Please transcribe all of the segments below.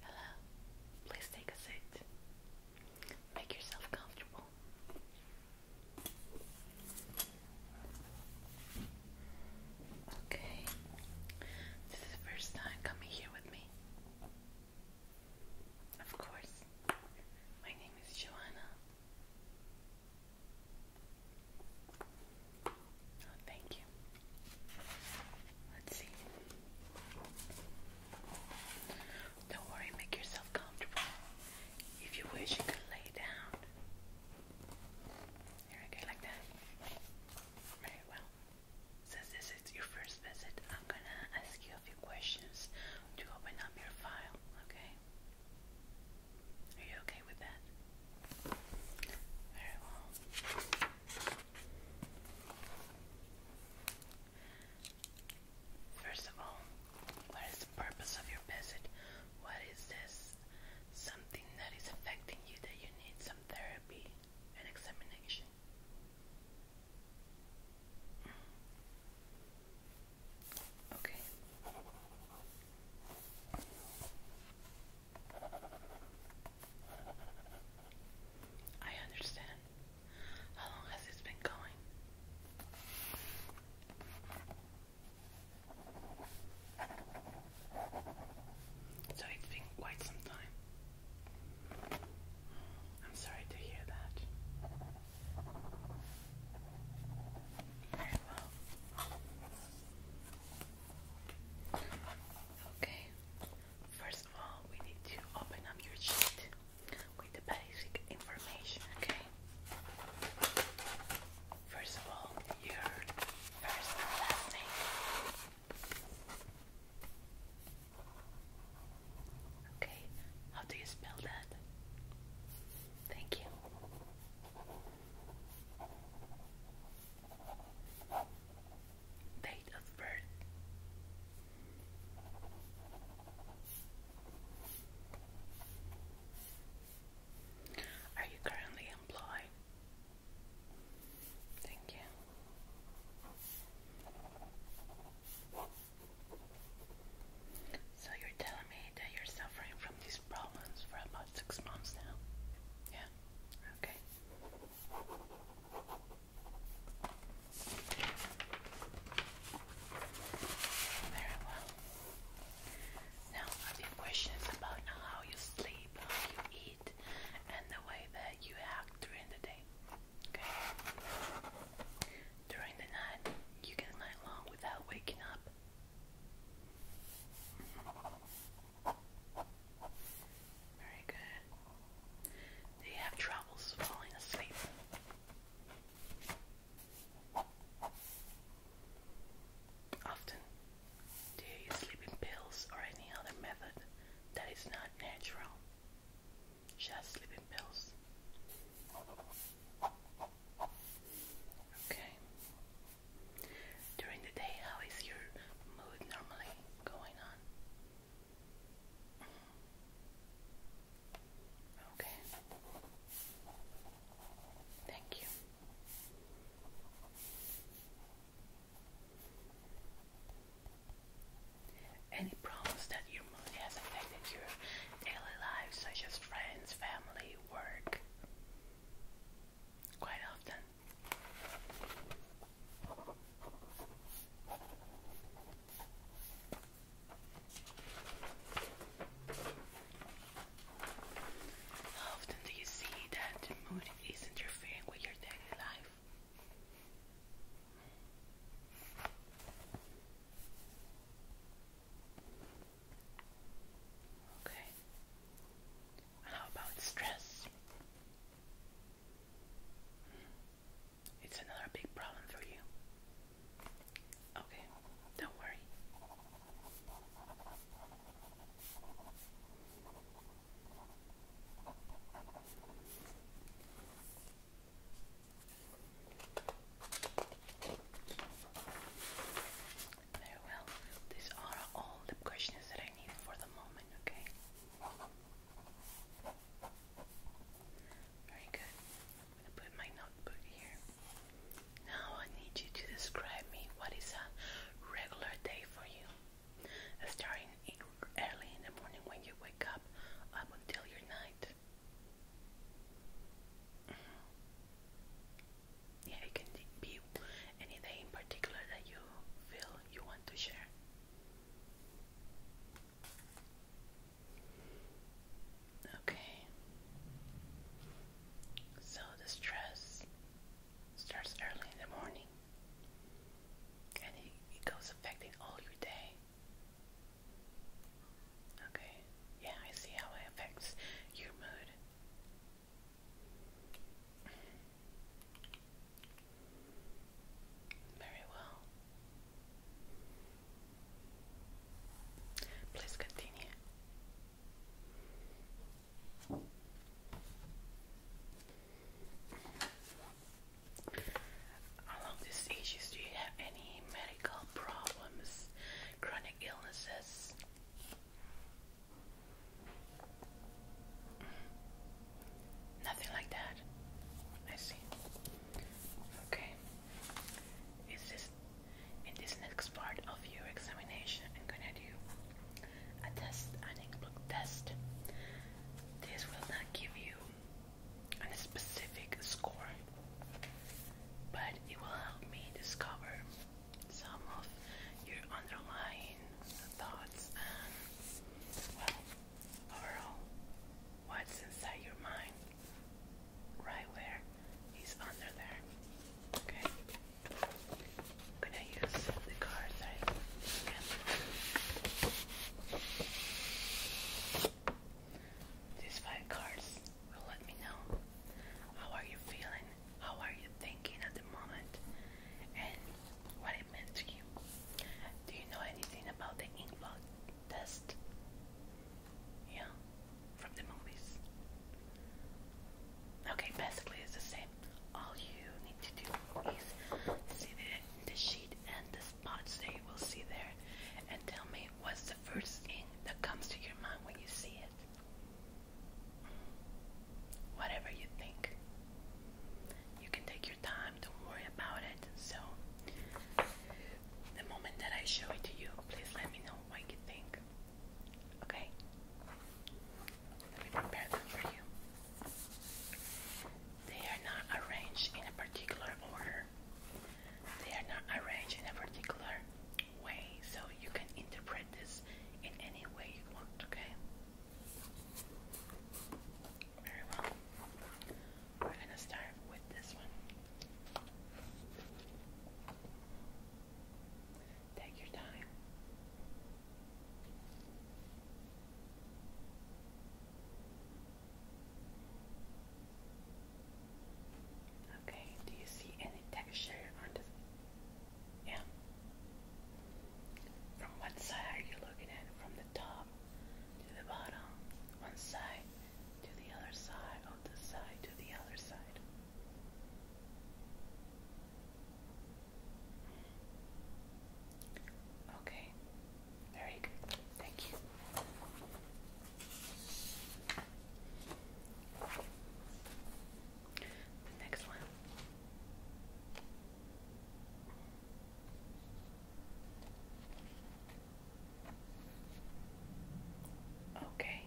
Hello, please take a seat. Make yourself comfortable. Okay, this is the first time coming here with me. Of course, my name is Joanna. Oh, thank you. Let's see. Don't worry, make yourself comfortable. If you wish, you could lay down. Here, okay, like that. Very well. Since this is your first visit, I'm gonna ask you a few questions to open up your file, okay? Are you okay with that? First of all, what is the purpose of your visit? What is this? Something that is affecting you that you need some therapy and examination. Okay. I understand. How long has this been going? So it's been quite some time. I'm sorry to hear that. Very well. Okay. First of all, we need to open up your sheet with the basic information, okay? First of all, your first and last name. Okay, how do you spell that? Thank you. Date of birth. Are you currently employed? Thank you. So you're telling me that you're suffering from these problems for about six months now? Yeah? Okay. Very well. Now, a few questions about how you sleep, how you eat, and the way that you act during the day. Okay. During the night, you get a long without waking up. Very good. Do you have troubles falling asleep? Often, do you use sleeping pills or any other method that is not natural? She has sleeping pills. Okay. During the day, how is your mood normally going on? Okay. Thank you. Any problems that your mood has affected your daily life, such as friends, family, work? Quite often. How often do you see that the mood is interfering with your daily life? Okay. How about stress? It's another big problem for you. Okay, don't worry. Very well. These are all the questions that I need for the moment, okay? Very good. i put my notebook here. Now I need you to describe me what is a regular day for you starting early in the morning when you wake up up until your night. Mm-hmm. Yeah, it can be any day in particular that you feel you want to share. Okay, so the stress starts early in the morning and it, it goes affecting all your day. Okay, yeah, I see how it affects your mood. Very well. Please continue. Along these issues, do you have any medical problems, chronic illnesses? Nothing like that. I see. Okay. Is this in this next part of your examination? I'm gonna do a test, an inkblock test. This will not give you a specific score, but it will help me discover some of your underlying thoughts and, well, overall, what's inside your mind, right where is under there. Okay. I'm gonna use the cards I These five cards will let me know how are you feeling, how are you thinking at the moment, and what it meant to you. Do you know anything about the inkblot test? Yeah, from the movies. Okay, basically it's the same all you need to do is see the, the sheet and the spots that you will see there and tell me what's the first thing that comes to your mind when you see it. Whatever you think. You can take your time, don't worry about it. So, the moment that I show it to you, please let me know what you think. Okay? Let me prepare them for you. They are not arranged in a particular order. They are not arranged in a particular way, so you can interpret this in any way you want, okay? Very well. We're gonna start with this one. Take your time. Okay, do you see any texture on this? Yeah. From what side are you looking at? From the top to the bottom, one side to the other side, or this side to the other side. Okay, very good. Thank you. next one. Okay.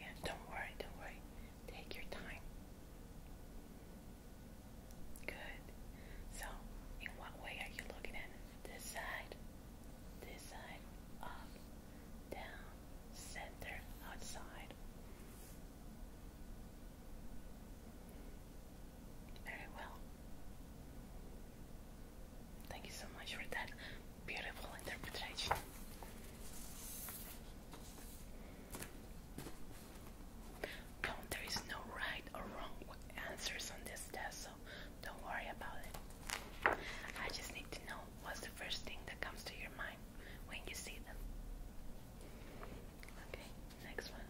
Yeah, don't worry, don't worry. Take your time. Good. So, in what way are you looking at This side, this side, up, down, center, outside. Very well. Thank you so much for that. Beautiful interpretation. No, there is no right or wrong answers on this test, so don't worry about it. I just need to know what's the first thing that comes to your mind when you see them. Okay, next one.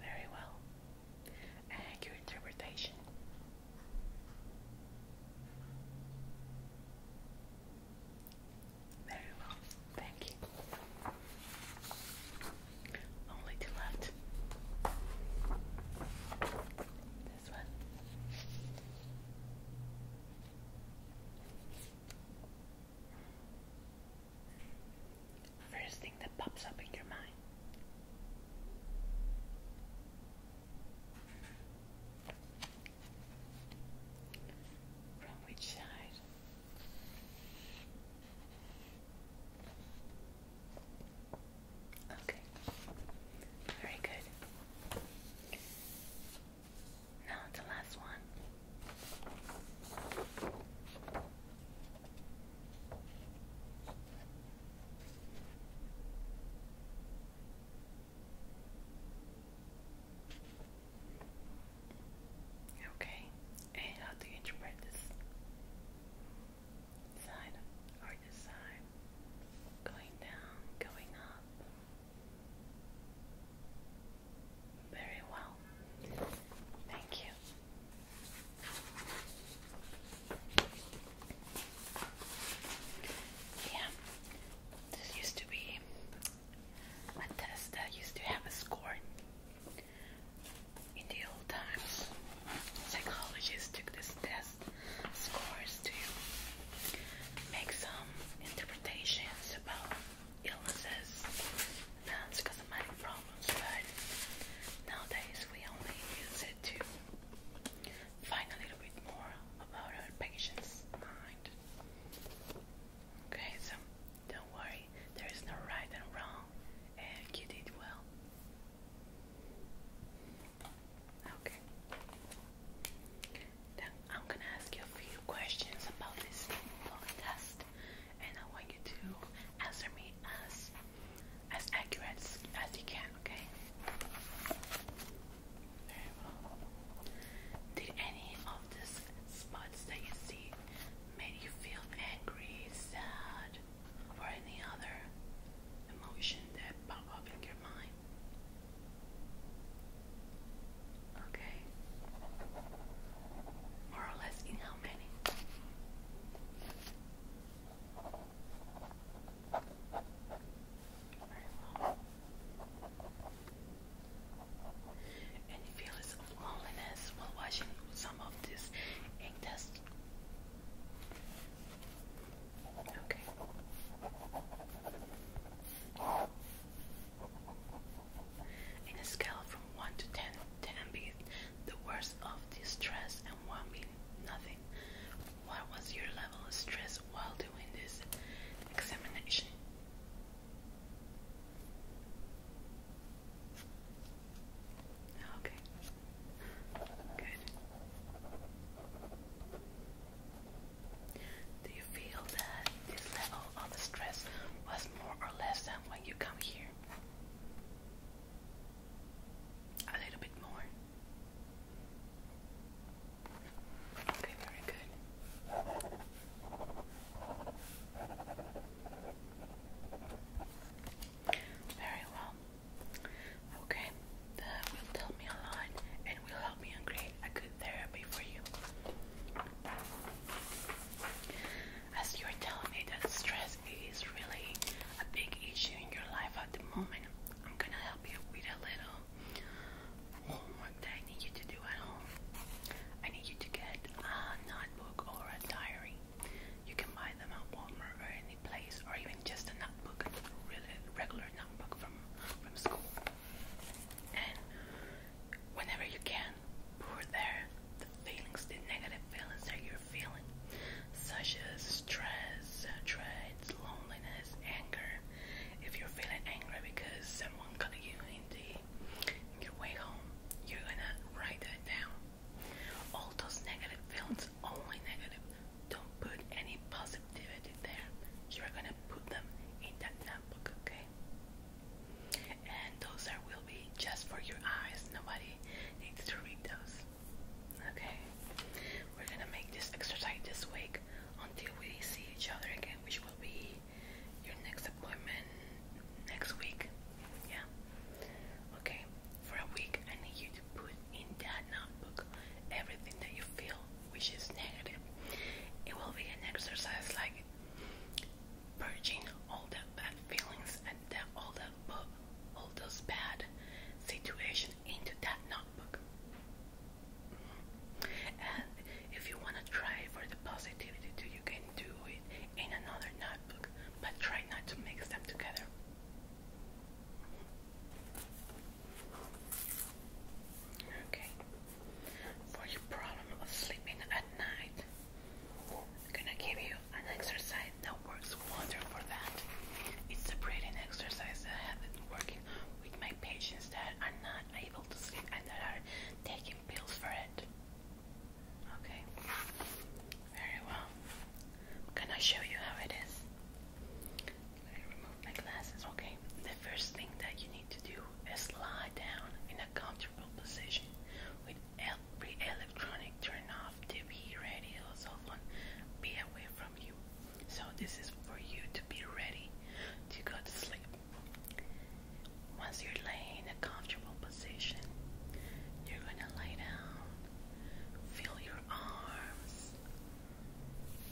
Very well. And interpretation. Very well. Thank you. Only two left. This one. First thing that pops up in your mind. From which side? Okay. Very good. Now the last one. Okay, and how do you interpret this side or this side? Going down, going up. Very well. Thank you. Yeah, this used to be a test that used to have a score in the old times. Psychologists took this test past scores to make some interpretations about illnesses and cosmetic problems, but nowadays we only use it to find a little bit more about our patient's mind. Okay, so don't worry, there is no right and wrong, and you did well. Okay. Then I'm gonna ask you a few questions about this test, and I want you to answer me as as accurate as, you can. Okay. Did any of these spots that you see make you feel angry, sad, or any other emotion that pop up in your mind? Okay. More or less in how many? Any feelings of loneliness while watching some of this ink test? Okay. In a scale from 1 to 10, being the worst of distress and 1 being nothing, what was your level of stress while doing this examination? Okay. Good. Do you feel that this level of stress was more or less than when you come here? A little bit more. Okay, very good. Very well. Okay, that will tell me a lot and will help me create a good therapy for you. As you're telling me that stress is really a big issue in your life at the moment, I'm gonna help you with a little homework that I need you to do at home. I need you to get a notebook or a diary. You can buy them at Walmart or any place, or even just a notebook, a really regular notebook from from school. And whenever you can, pour there the feelings, the negative feelings that you're feeling, such as stress, dread, loneliness, anger. If you're feeling angry because someone got you in the in your way home, you're gonna write that down. All those negative films, only negative. Don't put any positivity there. You're gonna put them in that notebook, okay? And those are will be just for your eyes. Nobody needs to read those. Okay. We're gonna make this exercise this week until we see each other again, which will be your next appointment next week. Yeah. Okay. For a week I need you to put in that notebook everything that you feel which is negative. It will be an exercise like purging all the bad feelings and all the all those bad situations into that notebook. And if you want to try for the positivity too, you can do it in another notebook, but try not to mix them together. Okay. For your problem of sleeping at night, I'm gonna give you an exercise that works wonder for that. It's a breathing exercise that I have been working with my patients that are not able to sleep and that are taking pills for it. Okay. Very well. Can I show you how it is? Let me remove my glasses. Okay. The first thing that you need to do is lie down in a comfortable position with every electronic turned off, TV, radio, cell phone, be away from you. So this is for you to be ready to go to sleep. Once you're laying in a comfortable position, you're gonna lay down Feel your arms,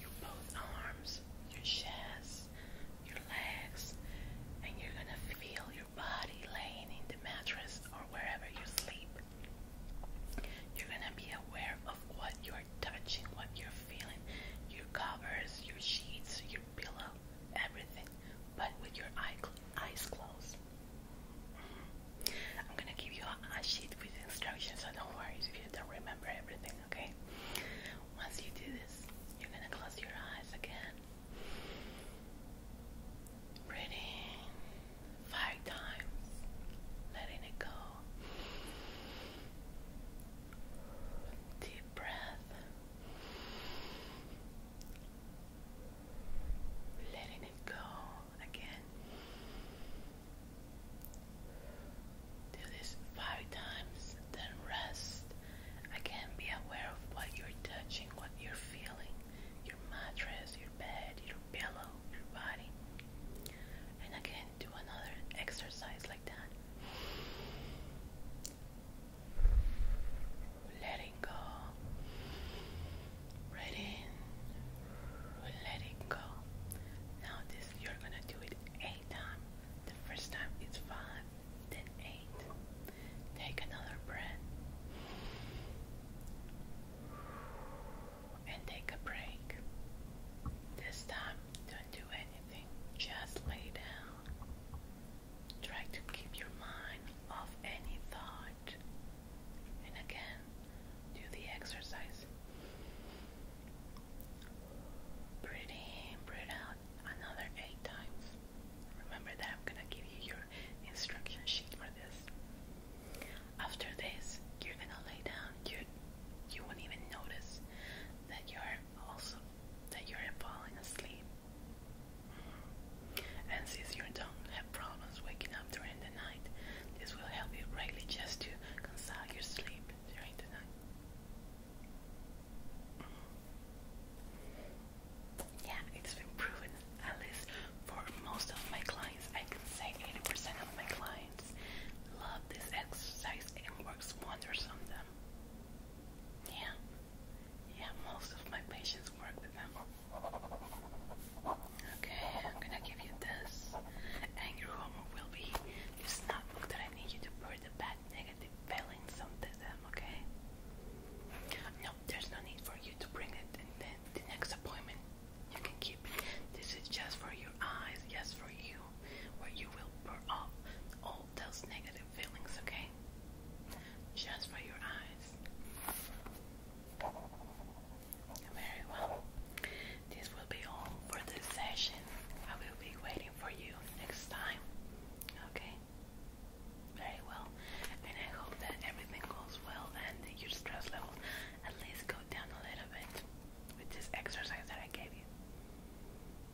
your both arms, your chest, your legs, and you're gonna feel your body laying in the mattress or wherever you sleep. You're gonna be aware of what you're touching, what you're feeling, your covers, your sheets, your pillow, everything, but with your eyes closed. I'm gonna give you a, sheet with instructions, so don't worry if you don't remember everything, okay? Once you do this, you're gonna close your eyes again. Breathing five times, letting it go. Deep breath. Letting it go again. Do this five times, then rest. Again, be aware of what you're touching, what you're feeling your mattress, your bed, your pillow, your body. And again, do another exercise like that letting go. Right in, letting go. Now this you're gonna do it eight times. The first time it's five, then eight. Take another breath. And take a break. This time, don't do anything. Just lay down. Try to keep your mind off any thought. And again, do the exercise. Breathe breathe out another eight times. Remember that I'm gonna give you your instruction sheet for this. After this, you're gonna lay down. You you won't even notice that you're also that you're falling asleep. And since you don't have problems waking up during the night, this will help you greatly just to consolidate your sleep during the night. Yeah, it's been proven, at least for most of my clients, I can say 80% of my clients love this exercise and works wonders on them. Yeah, yeah, most of my patients work with them. Okay, I'm gonna give you this, and your homework will be this notebook that I need you to put the bad negative feelings onto them. Okay? No, there's no need for you to bring it, and then the next appointment you can keep it. This is just for your eyes, just for you, where you will burn off all those negative feelings. Okay? Just for your eyes. Very well. This will be all for this session. I will be waiting for you next time. Okay? Very well. And I hope that everything goes well and your stress level at least go down a little bit with this exercise that I gave you.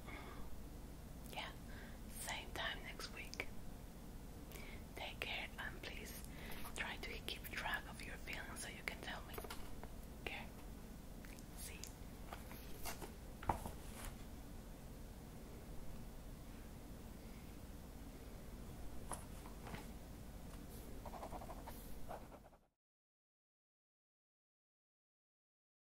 Mm-hmm. Yeah. Same time next week. Take care and please try to keep track of your feelings so you can tell me. Okay? See?